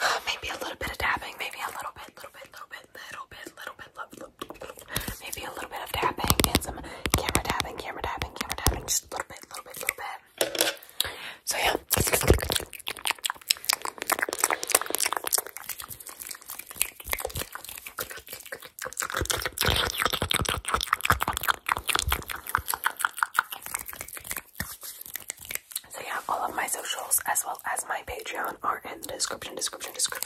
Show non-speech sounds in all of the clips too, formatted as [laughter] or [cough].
[sighs] Maybe a little bit of tapping, maybe a little bit, little bit, little bit, little bit, little bit, little maybe a little bit of tapping and some camera tapping, camera tapping, camera tapping, just a little bit, little bit, little bit. So yeah. So yeah, all of my socials as well as my Patreon are in the description, description, description.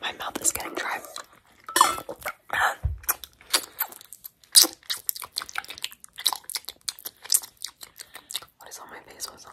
My mouth is getting dry. What is on my face? What's on?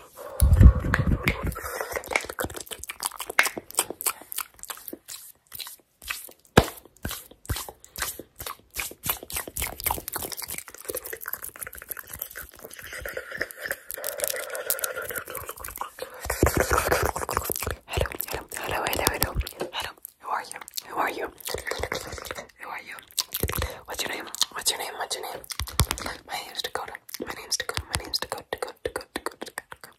Hello, hello, hello, hello, hello, hello. Who are you? Who are you? Who are you? What's your name? What's your name? What's your name? My name is Dakota. My name's Dakota, my name's Dakota, Dakota, Dakota, Dakota, Dakota,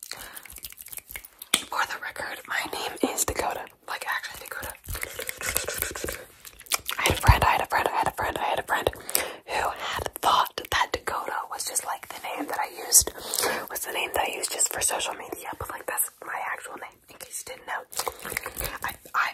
Dakota. For the record, my name is Dakota. Like, actually, Dakota. I had a friend, I had a friend, I had a friend, I had a friend who had thought that Dakota was just like the name that I used, was the name that I used just for social media, but like that's my actual name, in case you didn't know. I, I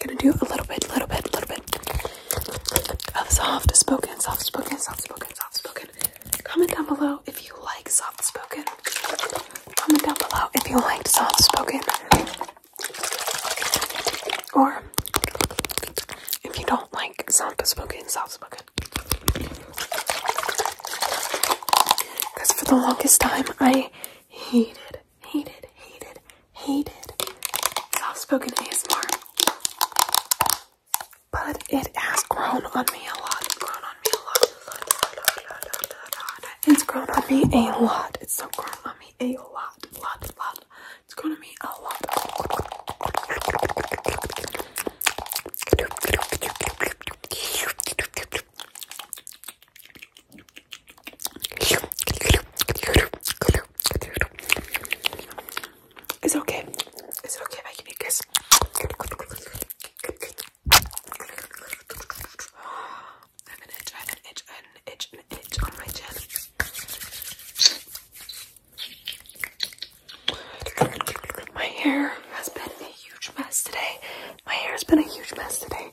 gonna do a little bit, little bit, little bit of soft spoken, soft spoken, soft spoken, soft spoken. Comment down below if you like soft spoken. Comment down below if you liked soft spoken. Or if you don't like soft spoken, soft spoken. Because for the longest time I hated hated, hated, hated soft spoken ASMR. But it has grown on me a lot. It's grown on me a lot. It's grown on me a lot. It's so grown on me a lot. Lot, lot. It's grown on me a lot. Is it okay? Is it okay if I give you a kiss? I have an itch, I have an itch, an itch, an itch on my chin. My hair has been a huge mess today. My hair has been a huge mess today.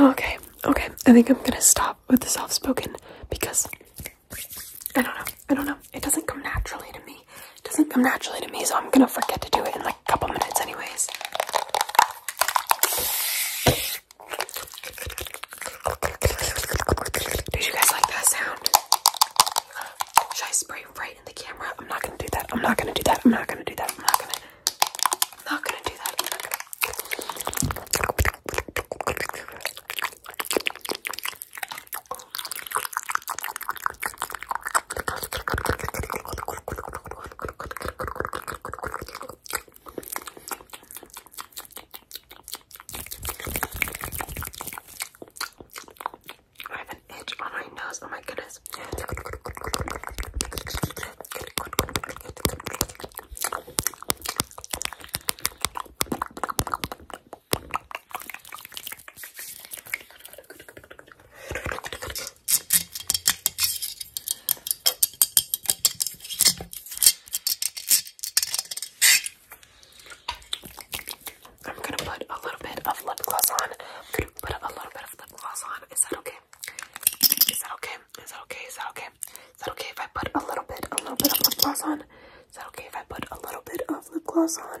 Okay, okay. I think I'm gonna stop with the soft spoken because I don't know. I don't know. It doesn't come naturally to me. It doesn't come naturally to me, so I'm gonna forget to do it in like a couple minutes, anyways. Did you guys like that sound? Should I spray right in the camera? I'm not gonna do that. I'm not gonna do that. I'm not gonna do that. I'm not gonna. not gonna do that. I have an itch on my nose. Oh my goodness. I'm gonna put a little bit of lip gloss on. put a little bit of lip gloss on. Is that okay? Is that okay? Is that okay? Is that okay? Is that okay if I put a little bit, a little bit of lip gloss on? Is that okay if I put a little bit of lip gloss on?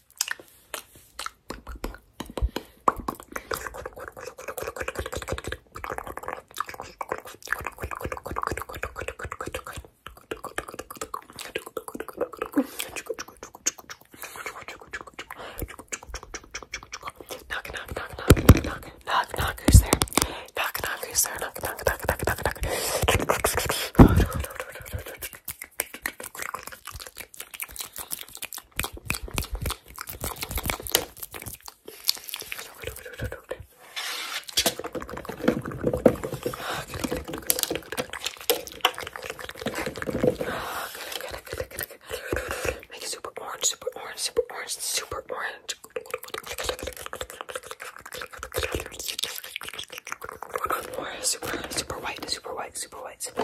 Knock, knock, knock, knock, knock, knock, knock, who's there? Knock, knock, who's there? Knock, knock, knock, knock, knock, knock. Make it super orange, super orange, super orange, super orange. Super, super white, super white, super white white, super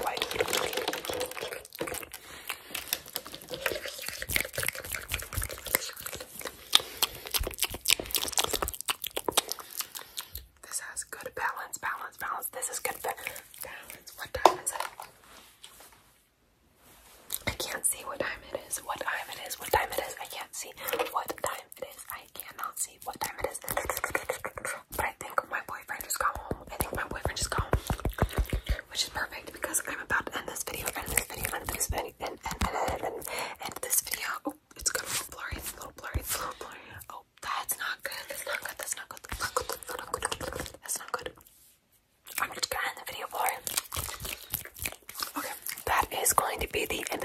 This has good balance, balance, balance. This is good balance. What time is it? I can't see what time it is. What time it is. What time it is. I can't see what time it is. I cannot see what time it is. But I think my boyfriend just got home. I think my boyfriend just got home. Which is perfect because I'm about to end this video, end this video, end this video, end, end, end, end, end this video. Oh, it's gonna be blurry, it's a little blurry, it's a little blurry. Oh, that's not good, that's not good, that's not good, that's not good, that's not good, that's not good. I'm just gonna end the video blurry. Okay, that is going to be the end